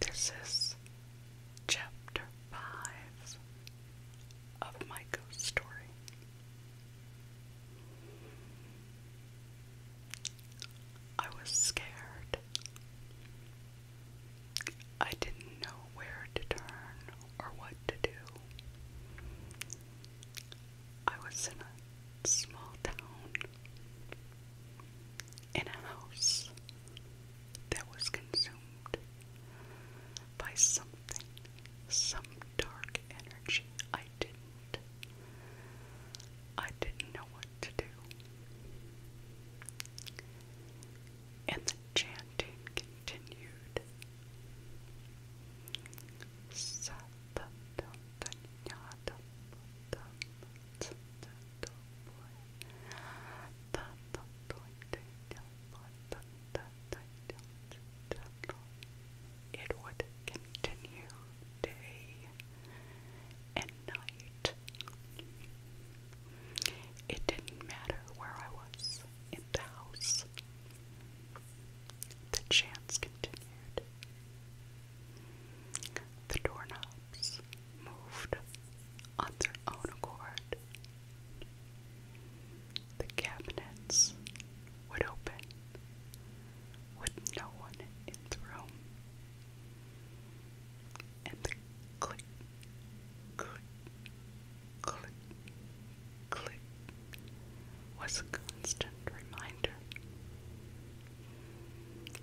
This is chapter 5 of my ghost story. I was scared. I didn't know where to turn or what to do. I was in a small town in a house that was consumed by something, some dark energy. I didn't. I didn't know what to do. And the chanting continued. Sat it would continue day and night. It didn't matter where I was in the house. The chants continued. The doorknobs moved on their own accord. The cabinets would open with no one in the room. And the click, click, click, click was a constant reminder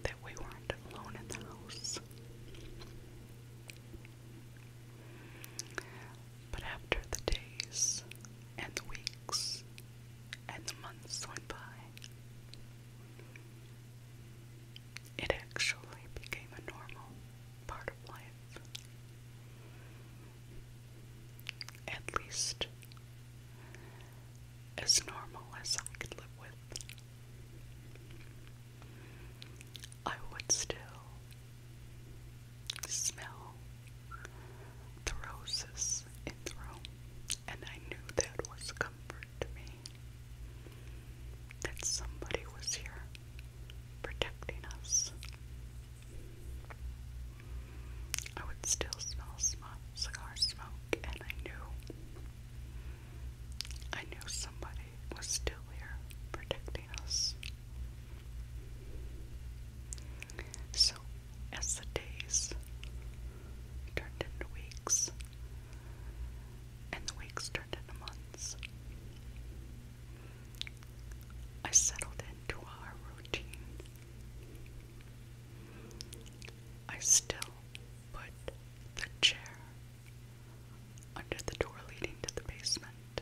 that we weren't alone in the house. But after the days and the weeks and the months went by, it actually became a normal part of life. At least as normal as I could live with. I would still smell the roses in the room, and I knew that was comfort to me that somebody was here protecting us. I would still smell smoke, cigar smoke, and I knew, I knew somebody was still here protecting us. So, as the days turned into weeks, and the weeks turned into months, I settled into our routine. I still put the chair under the door leading to the basement,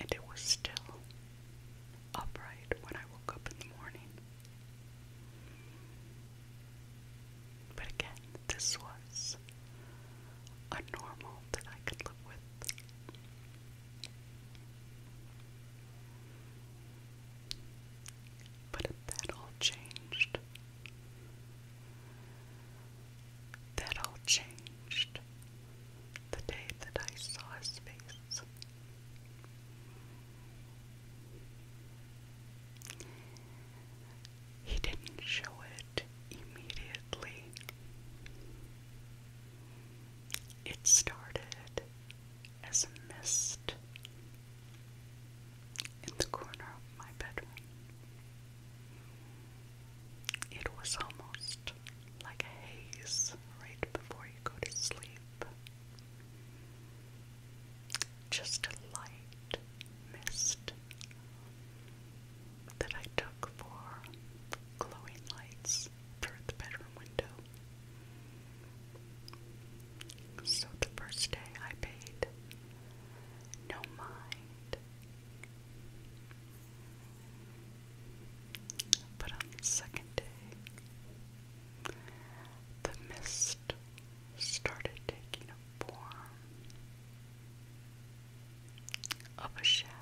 and it was still upright when I woke up in the morning. But again, this was a normal that I could live with. But that all changed. That all changed the day that I saw his face. He didn't show it immediately. It started as a mist in the corner of my bedroom. It was almost like a haze right before you go to sleep. Just a light mist that I took for glowing lights through the bedroom window. So the first day I paid no mind. But on the second day, the mist started taking a form of a shadow.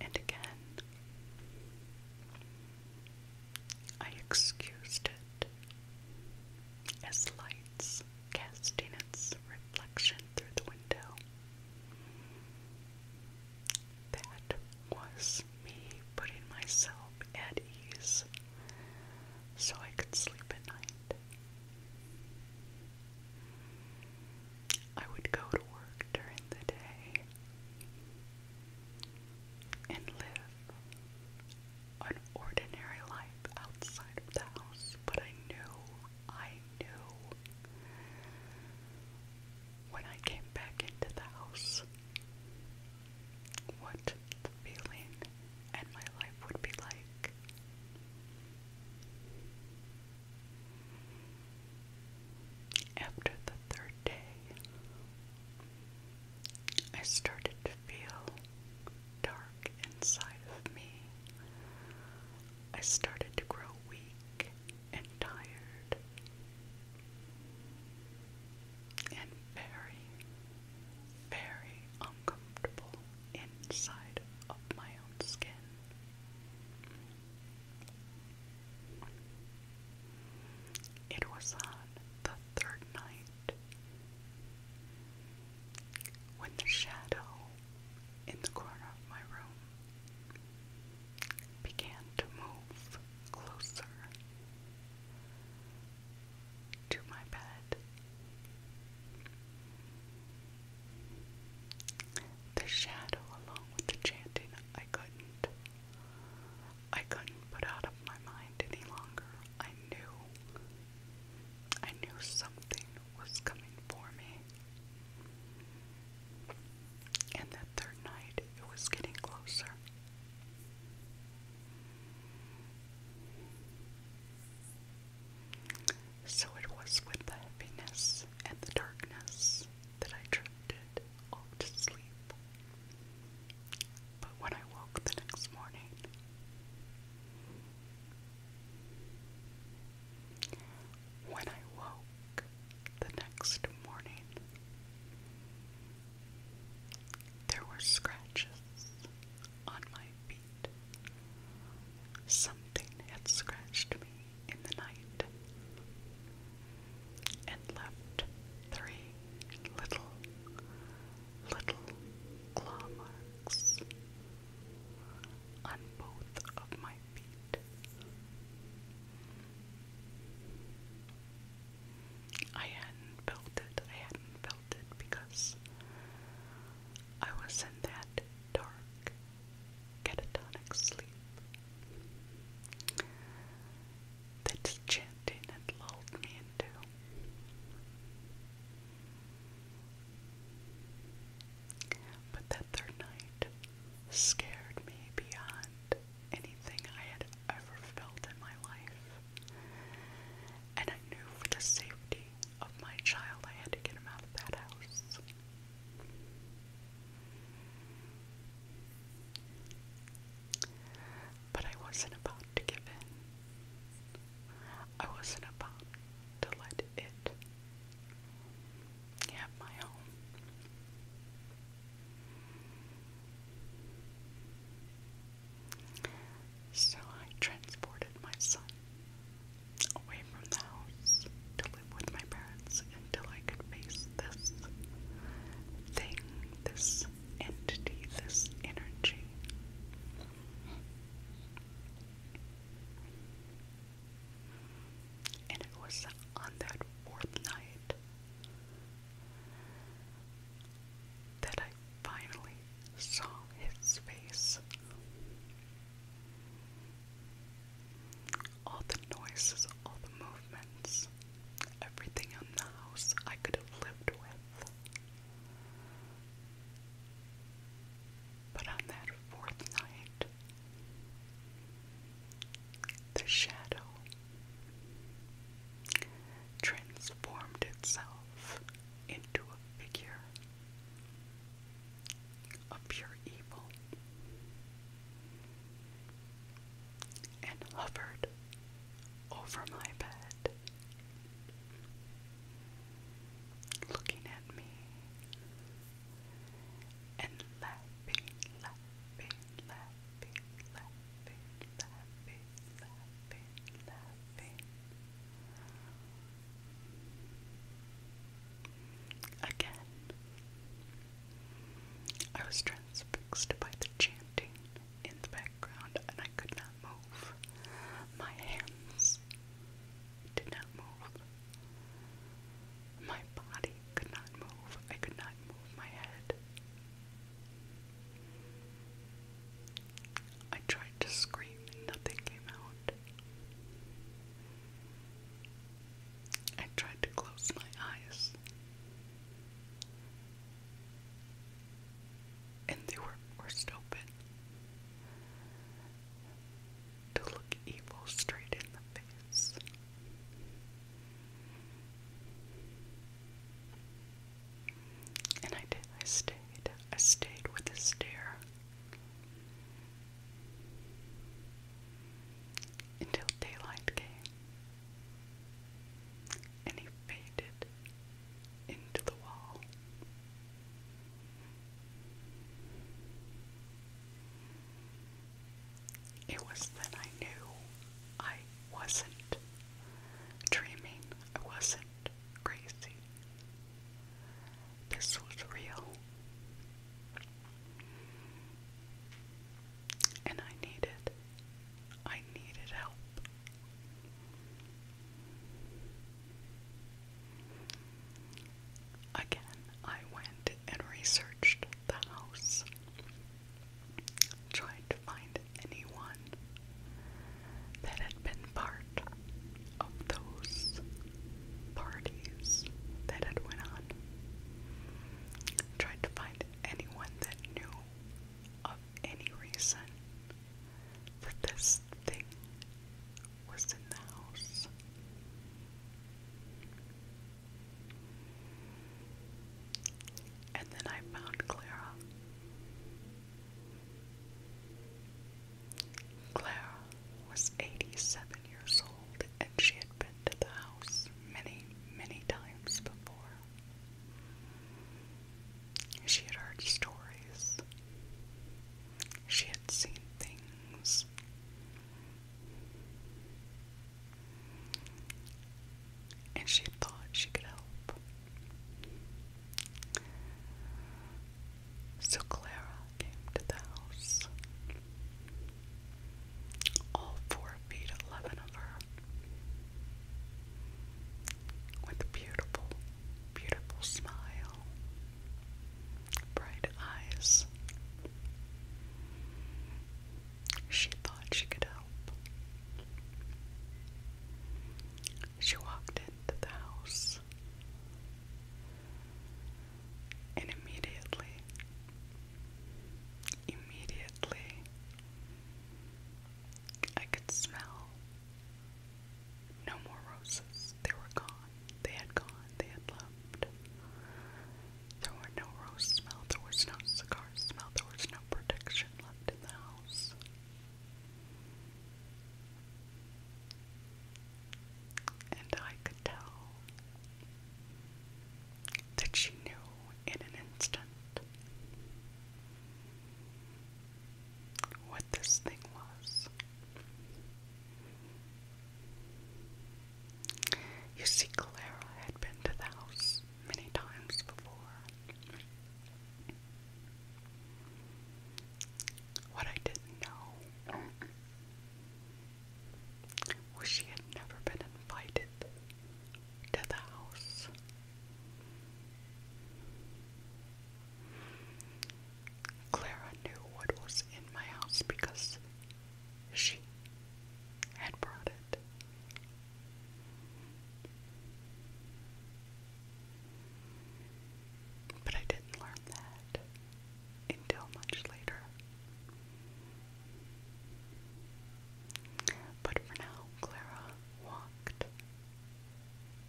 And again, I excused it as lights casting its reflection through the window. That was me putting myself at ease so I could sleep at night. I would go to work during the day and live an ordinary life outside of the house, but I knew, I knew when I came back into the house what feeling and my life would be like. After the third day, I started to feel dark inside of me. I started to grow weak and tired and very, very uncomfortable inside of my own skin. It was on the third night when the shadow in the corner of my room began to move closer to my bed. The shadow along with the chanting, I couldn't. I couldn't put out of my mind any longer. I knew. I knew something was coming for me. And that third night, it was getting closer. So it was with the heaviness and the darkness that I drifted off to sleep. But when I woke the next morning, when I woke the next morning, there were scratches on my feet. Something had scratched me in the night and left three little, little claw marks on both of my feet. I hadn't felt it, I hadn't felt it because I was in that dark, catatonic sleep. That chanting had lulled me into. But that third night scared me beyond anything I had ever felt in my life. And I knew for the safety of my child I had to get him out of that house. But I wasn't about to give in. I wasn't about to let it have my home. So I transported my son away from the house to live with my parents until I could face this thing, this entity, this energy. And it was on that fourth night that I finally saw his face. All the noises, all the movements, everything in the house I could have lived with. But on that fourth night, the shadow transformed itself into a figure of pure evil and hovered over my bed, looking at me and laughing, laughing, laughing, laughing, laughing. Again, I was transfixed by the chanting in the background and I could not move. My hands did not move. My body could not move. I could not move my head. I tried to scream and nothing came out. I tried to close my eyes. And they were forced open to look evil straight in the face. And I did. I stayed. I stayed with his stare until daylight came and he faded into the wall. It was then I knew I wasn't dreaming. I wasn't crazy. This was real. And I needed, I needed help. Again, I went and researched the house, tried to find anyone that had been part of those parties that had went on. Tried to find anyone that knew of any reason that this thing was in the house. And then I found Clara. Clara was 87 years old and she had been to the house many, many times before. She had heard stories. She had seen things and she thought she could help. So Clara came to the house. All four feet eleven of her. With a beautiful, beautiful smile, bright eyes. She thought she could help. She walked into the house and immediately, immediately, I could smell no more roses. They were gone. They had gone. They had left. There were no roses smell. There was no cigars smell. There was no protection left in the house. And I could tell that she knew in an instant what this thing was. You see, Clara had been to the house many times before. What I didn't know was she had never been invited to the house. Clara knew what was in my house because she had brought it but I didn't learn that until much later. But for now, Clara walked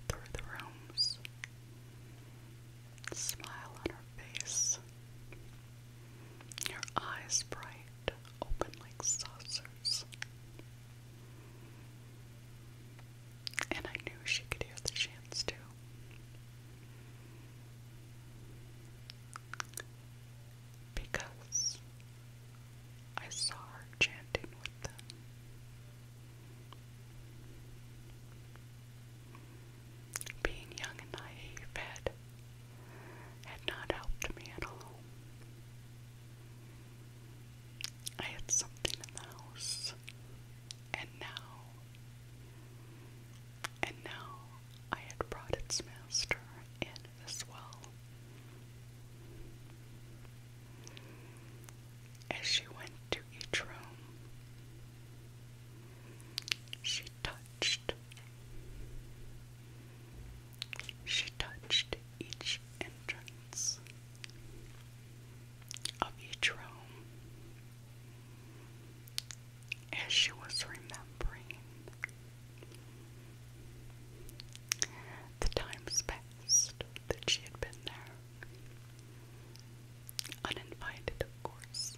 through the rooms, smile on her face, her eyes bright, open like saucers. And I knew she could have the chance to. Because I saw her chanting with them. Being young and naive had, had not helped me at all. I had something in the house, and now, and now I had brought its master in as well. As she went to each room, she touched she touched each entrance of each room as she was remembering. The times past that she had been there, uninvited, of course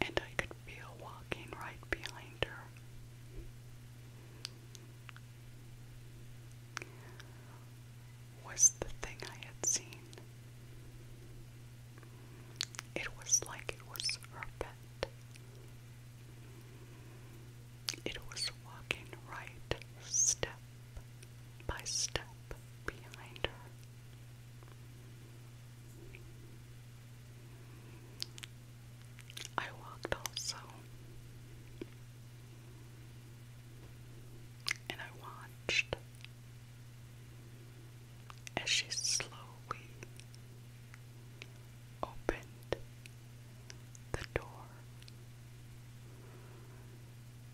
and I could feel walking right behind her. Was the thing I had seen. It was like it was her pet. It was walking right step by step behind her. I walked also, and I watched as she slowly opened the door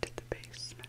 to the basement.